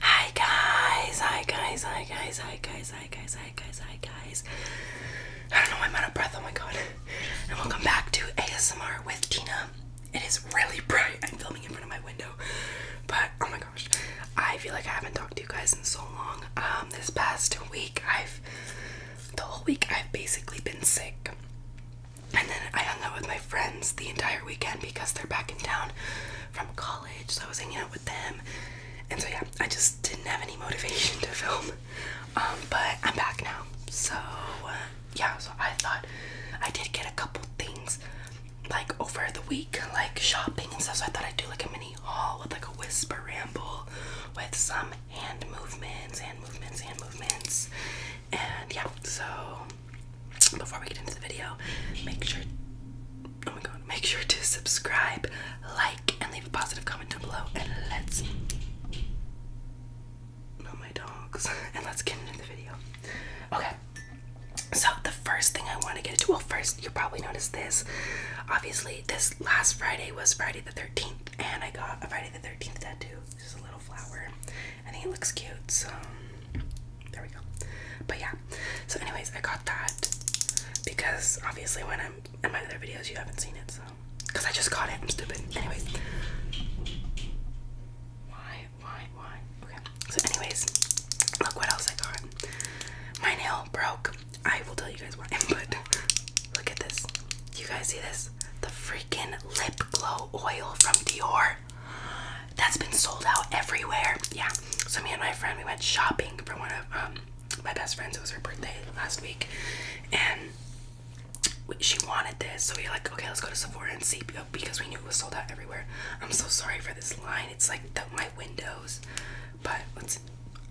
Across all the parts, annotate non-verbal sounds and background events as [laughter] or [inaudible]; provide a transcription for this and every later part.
Hi guys, hi guys, hi guys, hi guys, hi guys, hi guys, hi guys. I don't know, I'm out of breath, oh my god. And welcome back to ASMR with Tina. It is really bright. I'm filming in front of my window. But oh my gosh, I feel like I haven't talked to you guys in so long. Um, this past week I've the whole week I've basically been sick. And then I hung out with my friends the entire weekend because they're back in town from college, so I was hanging out with them. And so yeah, I just didn't have any motivation to film. Um, but I'm back now. So uh, yeah, so I thought I did get a couple things like over the week, like shopping and stuff. So I thought I'd do like a mini haul with like a whisper ramble with some hand movements, hand movements, hand movements. And yeah, so before we get into the video, make sure oh my god, make sure to subscribe, like, and leave a positive comment down below and let's not my dogs. [laughs] And let's get into the video. Okay. So the first thing I want to get into, well first you probably noticed this. Obviously this last Friday was Friday the 13th and I got a Friday the 13th tattoo. This is a little flower. and think it looks cute. So there we go. But yeah. So anyways, I got that because obviously when I'm in my other videos you haven't seen it, so because I just got it. I'm stupid. Anyways. Why? Why? Why? Okay. So anyways, look what else I got. My nail broke. I will tell you guys why, [laughs] but look at this. You guys see this? The freaking lip glow oil from Dior. That's been sold out everywhere. Yeah. So me and my friend we went shopping for one of um my best friends. It was her birthday last week, and she wanted this. So we were like, okay, let's go to Sephora and see because we knew it was sold out everywhere. I'm so sorry for this line. It's like my windows, but let's.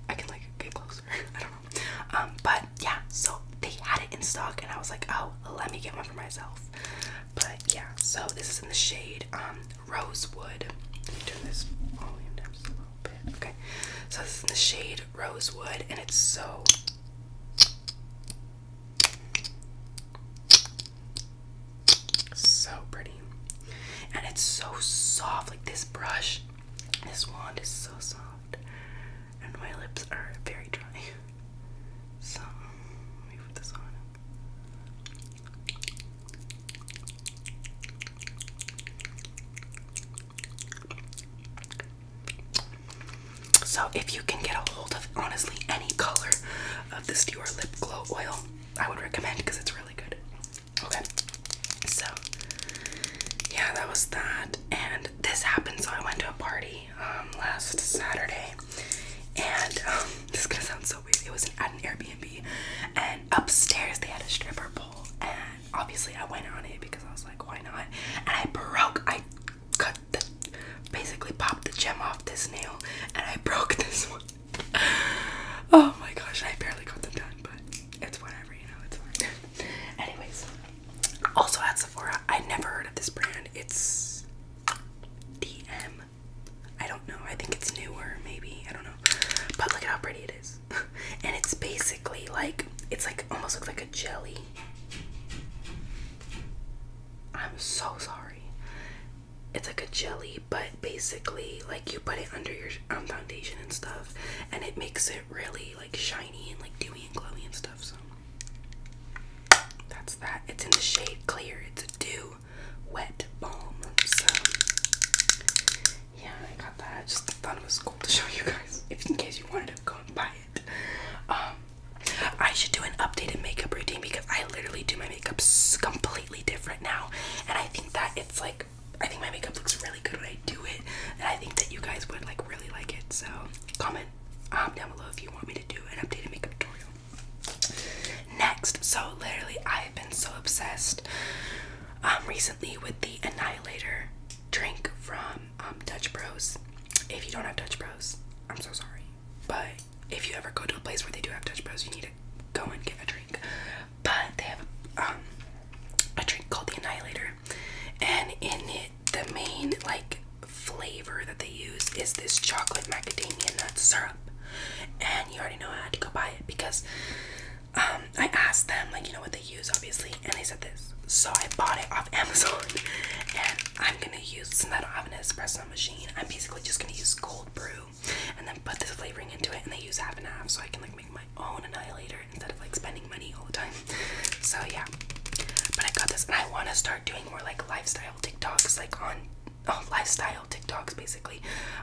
I can like get closer. [laughs] I don't know. Um, but yeah, so they had it in stock, and I was like, oh, let me get one for myself. But yeah, so this is in the shade um, Rosewood. turn this volume down a little bit. Okay. So this is in the shade Rosewood and it's so so pretty. And it's so soft. Like this brush, this wand is so soft. And my lips are very dry. [laughs] So let me put this on. So, if you can get a hold of honestly any color of this Dior Lip Glow Oil, I would recommend because it's really good. Okay, so yeah, that was that. And this happened, so I went to a party um, last Saturday and um, this is gonna sound so weird. It was at an Airbnb, and upstairs they had a stripper pole, and obviously I went on it because I was like, why not? And I broke. I cut the, basically popped the gem off this nail, and I broke [laughs] this one. oh my gosh! I barely got them done, but it's whatever, you know. It's fine. Anyways, also at Sephora, I never heard of this brand. It's DM I don't know. I think it's newer, maybe. I don't know. But look at how pretty it is. [laughs] and it's basically like it's like almost looks like a jelly. I'm so sorry. It's like a jelly, but basically like you put it under your um, foundation and stuff, and it makes it really like shiny and like dewy and glowy and stuff. So that's that. It's in the shade clear. It's a dew wet balm. So yeah, I got that. I just thought it was cool to show you guys. [laughs] If in case you wanted to go and buy it. Um I should do an updated makeup routine because I literally do my makeup completely different now. And I think that it's like I think my makeup looks really good when I do it. And I think that you guys would like really like it. So comment um, down below if you want me to do an updated makeup tutorial. Next, so literally, I have been so obsessed um, recently with the Annihilator drink from um, Dutch Bros. If you don't have Dutch Bros, I'm so sorry. But if you ever go to a place where they do have Dutch Bros, you need to go and get a drink. But they have um, a drink called the Annihilator, and in it, the main like flavor that they use is this chocolate macadamia nut syrup. And you already know I had to go buy it because um, I asked them, like, you know what they use, obviously, and they said this. So I bought it off [laughs] Amazon, and I'm gonna use since I don't have an espresso machine, I'm basically just gonna use cold brew, and then put this flavoring into it, and they use half and half, so I can like make my own annihilator instead of like spending money all the time. So yeah, but I got this, and I want to start doing more like lifestyle TikToks, like on oh, lifestyle TikToks basically,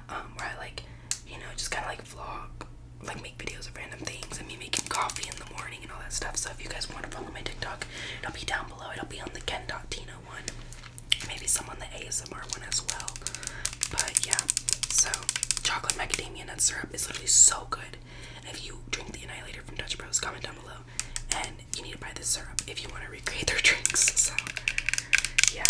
um, where I like, you know, just kind of like vlog, like make videos of random things, and me making coffee in the morning and all that stuff. So if you guys want to follow my TikTok, it'll be down below. It'll be on the Tina one, maybe some on the ASMR one as well. But yeah, so chocolate macadamia nut syrup is literally so good. if you drink the annihilator from Dutch Bros, comment down below and you need to buy this syrup if you want to recreate their [laughs] drinks. So, yeah.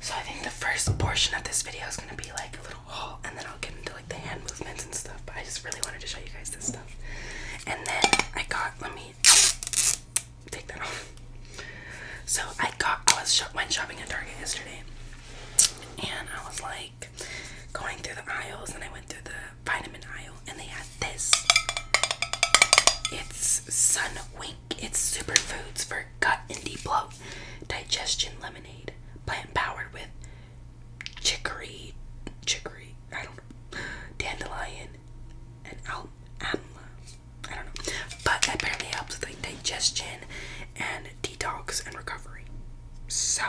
So I think the first portion of this video is gonna be like a little haul, and then I'll get into like the hand movements and stuff. But I just really wanted to show you guys this stuff. And then I got. Let me take that off. So I got. I was shop, when shopping at Target yesterday, and I was like going through the aisles and I went through the vitamin aisle and they had this. It's Sun Wink. It's superfoods for gut and deep bloat. Digestion lemonade. Plant powered with chicory, chicory, I don't dandelion, and amla. I don't know. But that apparently helps with like digestion and detox and recovery. So,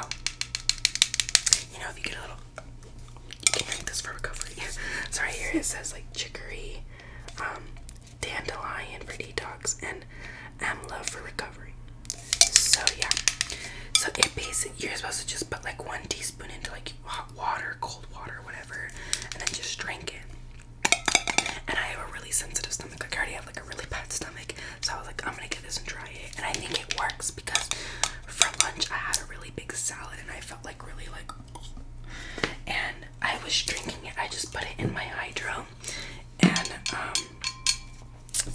you know, if you get a little, you can drink this for recovery. [laughs] so right here it says like chicory, um, dandelion for detox, and amla for recovery. So yeah, so it basically you're supposed to just put like one teaspoon into like hot water, cold water, whatever, and then just drink it. And I have a really sensitive stomach. Like cardio like a really bad stomach, so I was like, I'm gonna get this and try it. And I think it works because for lunch I had a really big salad and I felt like really like, and I was drinking it. I just put it in my hydro, and um,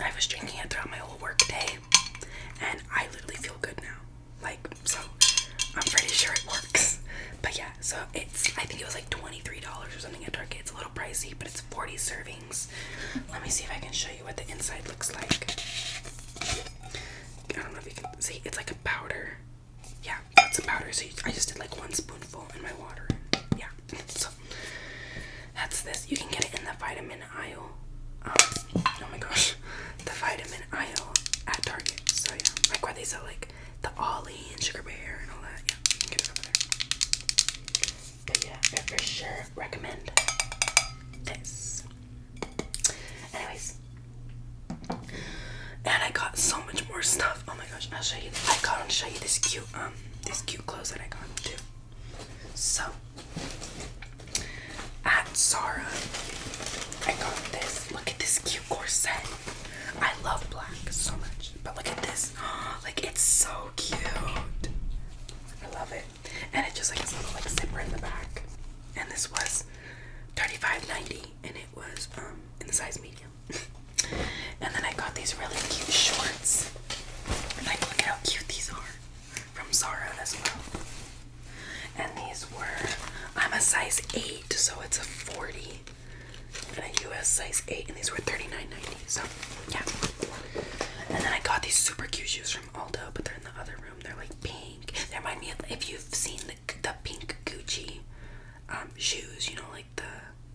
I was drinking it throughout my whole work day, and I literally feel good now. Like so, I'm pretty sure it works. But yeah, so it's I think it was like twenty three dollars or something at Target. It's a little pricey, but it's forty servings let me see if I can show you what the inside looks like. I don't know if you can see, it's like a powder. Yeah, it's a powder. So I just did like one spoonful in my water. Yeah, so that's this. You can get it in the vitamin aisle. Um, oh my gosh, the vitamin aisle at Target. So yeah, like where they sell like the Ollie and Sugar Bear and all that. Yeah, you can get it over there yeah, I for sure recommend this. Anyways. And I got so much more stuff. Oh my gosh, I'll show you. I gotta show you this cute um this cute clothes that I got too. So at Zara, I got this. Look at this cute corset. I love black so much. But look at this this. [gasps] like it's so cute. I love it. And it just like has a little like zipper in the back. And this was 35 90 and it was um in the size medium. [laughs] and then I got these really cute shorts. And like look how cute these are. From Zara as well. And these were I'm a size 8, so it's a 40. And a US size 8, and these were 39 90 So yeah. And then I got these super cute shoes from Aldo, but they're in the other room. They're like pink. They remind me of if you've seen the, the pink Gucci um, shoes, you know, like the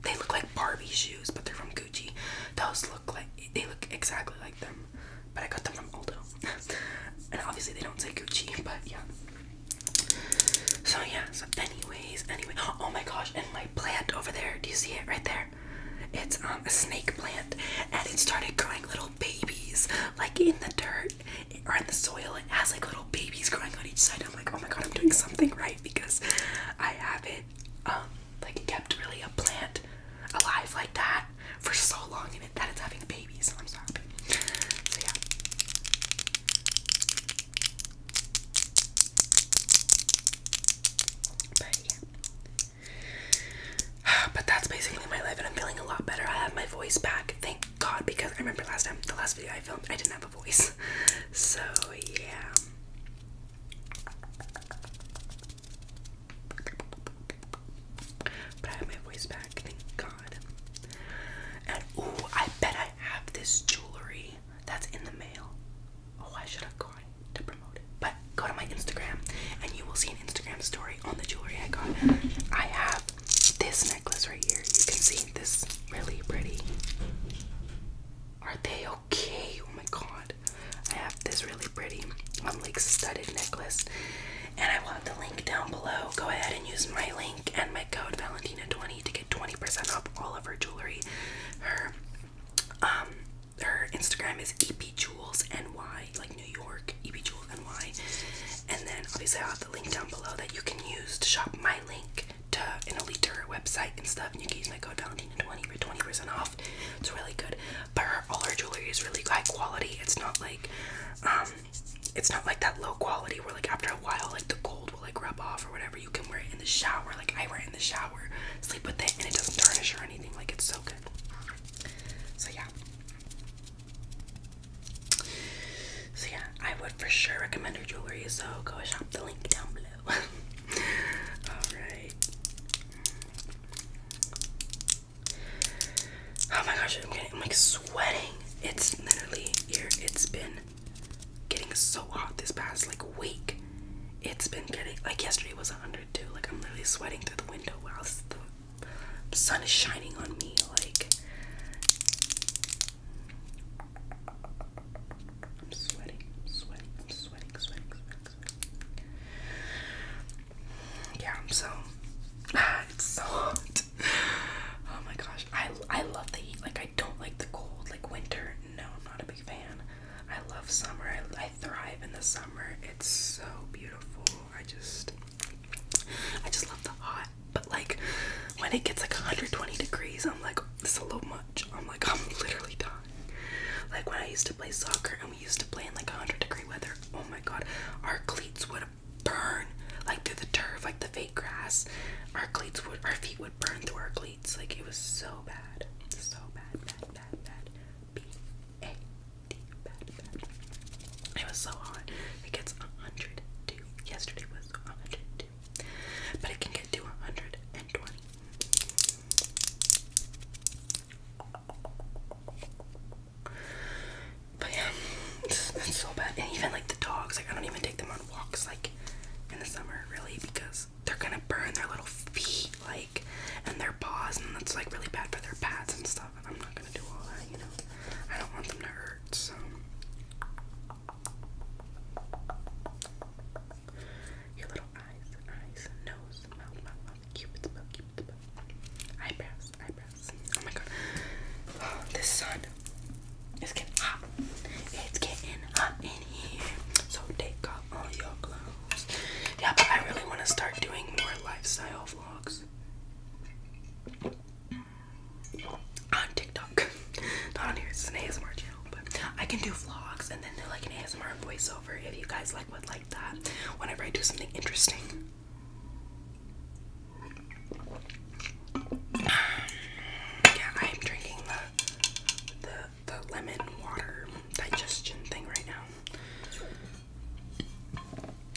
they look like Barbie shoes, but they're from Gucci. Those look like they look exactly like them, but I got them from Aldo. [laughs] and obviously they don't say Gucci, but yeah. So yeah. So anyways, anyway. Oh my gosh! And my plant over there. Do you see it right there? It's um, a snake plant, and it started growing little babies, like in the dirt or in the soil. It has like little babies growing on each side. I'm like, oh my god, I'm doing something right because I have it, um, like kept really a plant alive like that for so long, and it, that it's having babies. I'm sorry. So yeah. But [sighs] But that's basically my life, and I'm feeling a lot better. I have my voice back, thank God, because I remember last time, the last video I filmed, I didn't have a voice. [laughs] So, yeah. But I have my voice back, thank God. And ooh, I bet I have this jewelry. That's in the mail. Oh, I should have gone to promote it. But go to my Instagram and you will see an Instagram story on the jewelry I got. I have this necklace right here. You can see this really pretty. Are they okay? Oh my god. I have this really pretty um, like studded necklace. And I will have the link down below. Go ahead and use my link and my code Valentina20 to get 20% off all of her jewelry. Her um her Instagram is epjewelsny, like New York, epjewelsny. And then obviously I'll have the link down below that you can use to shop my link to an elite to her website and stuff. And you can use my code Valentina20 for 20% off. It's really good. But all her jewelry is really high quality. It's not like, um, it's not like that low quality where like after a while like the gold will like rub off or whatever. You can wear it in the shower. Like I wear it in the shower, sleep with it, and it doesn't tarnish or anything. Like it's so good. So yeah. So yeah, I would for sure recommend her jewelry. So go shop the link down below. [laughs] Alright. Oh my gosh, I'm like sweating. It's literally here. It's been getting so hot this past like week. It's been getting like yesterday was 102. Like I'm literally sweating through the window while the sun is shining on me. Like I'm sweating, I'm sweating, I'm sweating, sweating, sweating, sweating. Yeah, I'm so. [sighs] it's so hot. [sighs] Oh my gosh, I I love the heat. Like I don't like the cold, like winter. No, I'm not a big fan. I love summer. I, thrive in the summer. It's so beautiful. I just, I just love the hot. But like, when it gets like 120 degrees, I'm like, this is a little much. I'm like, I'm literally dying. Like when I used to play soccer and we used to play in like 100 degree weather. Oh my god, our cleats would burn like through the turf, like the fake grass. Our cleats would, our feet would. Burned burn through our cleats. Like it was so bad. So bad, bad, bad, bad. B A D It was so hot. It gets 102. Yesterday was 102. But it can get to 120. But yeah, it's, it's so bad. And even like the dogs, like I don't even take them on walks like in the summer really because they're gonna burn their little feet, like, and their paws, and that's like really bad for their pads and stuff. And I'm not gonna do all that, you know. I don't want them to hurt, so. Your little eyes, eyes, nose, mouth, mouth, mouth, cupid's eyebrows, eyebrows. Oh my god, [gasps] this sun is getting hot. It's getting hot so take off all your clothes. Yeah, but I really want to start doing more lifestyle vlogs on TikTok. [laughs] Not on here, it's an ASMR channel, but I can do vlogs and then do like an ASMR voiceover if you guys like would like that whenever I do something interesting. [sighs] Yeah, I'm drinking the the the lemon water digestion thing right now.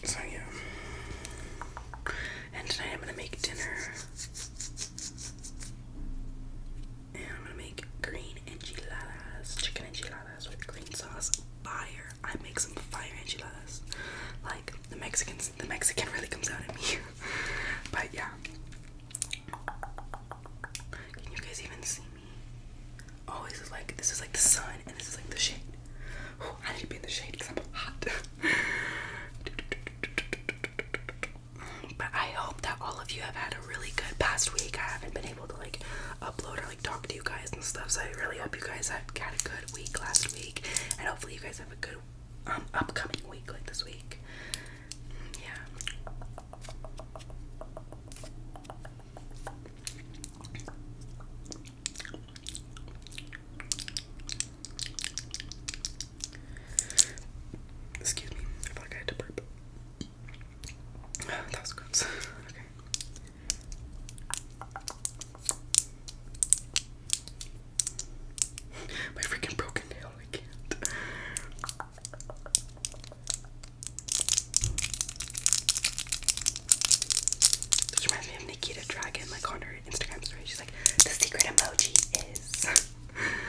So yeah. And tonight I'm gonna make dinner. And I'm gonna make green enchiladas, chicken enchiladas with green sauce. Fire! I make some fire enchiladas. Like the Mexicans, the Mexican really comes out at me. [laughs] but yeah, can you guys even see me? Oh, like this is like the sun and this is like the shade. I need to be the shade because I'm hot. but I hope that all of you have had a really good past week. I haven't been able to like upload or like talk to you guys and stuff. So I really hope you guys have had a good week last week, and hopefully you guys have a good um, upcoming week like this week. Yeah. Excuse me, I feel I had to burp. [sighs] That was [laughs] okay. [laughs] My freaking broken nail, I can't. This reminds me of Nikita Dragon, like on her Instagram story. She's like, the secret emoji is. [laughs]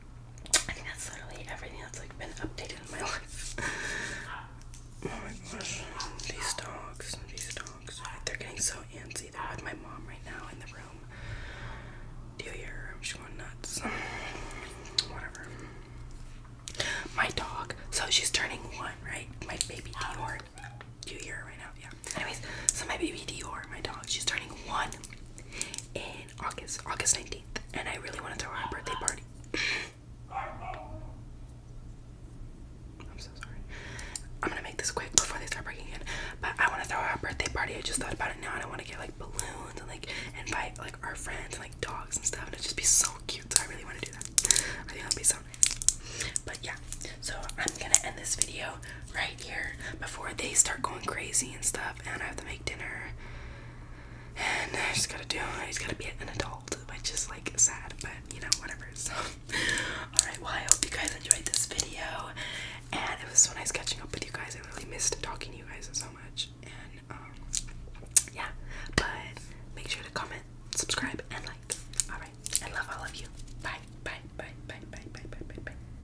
I think that's literally everything that's like been updated in my [laughs] life. oh my gosh. These dogs, these dogs. They're getting so antsy. I are my mom right now in the room. Do you hear her? She's going nuts. Whatever. My dog. So she's turning one, right? My baby Dior. Do you hear her right now? Yeah. Anyways, so my baby Dior, my dog, she's turning one in August, August 19th, and I really want to throw a birthday party. I'm so sorry. I'm gonna make this quick before they start breaking in. But I want to throw a birthday party. I just thought about it now, and I want to get like balloons and like invite like our friends and like dogs and stuff, and it'd just be so cute. So I really want to do that. I think that'd be so nice. But yeah, so I'm gonna end this video video right here before they start going crazy and stuff, and I have to make dinner. And I just gotta do. I just gotta be an adult, which is like sad, but you know whatever. So, [laughs] all right. Well, I hope you guys enjoyed this video, and it was so nice catching up with you guys. I really missed talking to you guys so much, and um, yeah. But make sure to comment, subscribe, and like. All right. I love all of you. Bye. Bye. Bye. Bye. Bye. Bye. Bye. Bye. Bye.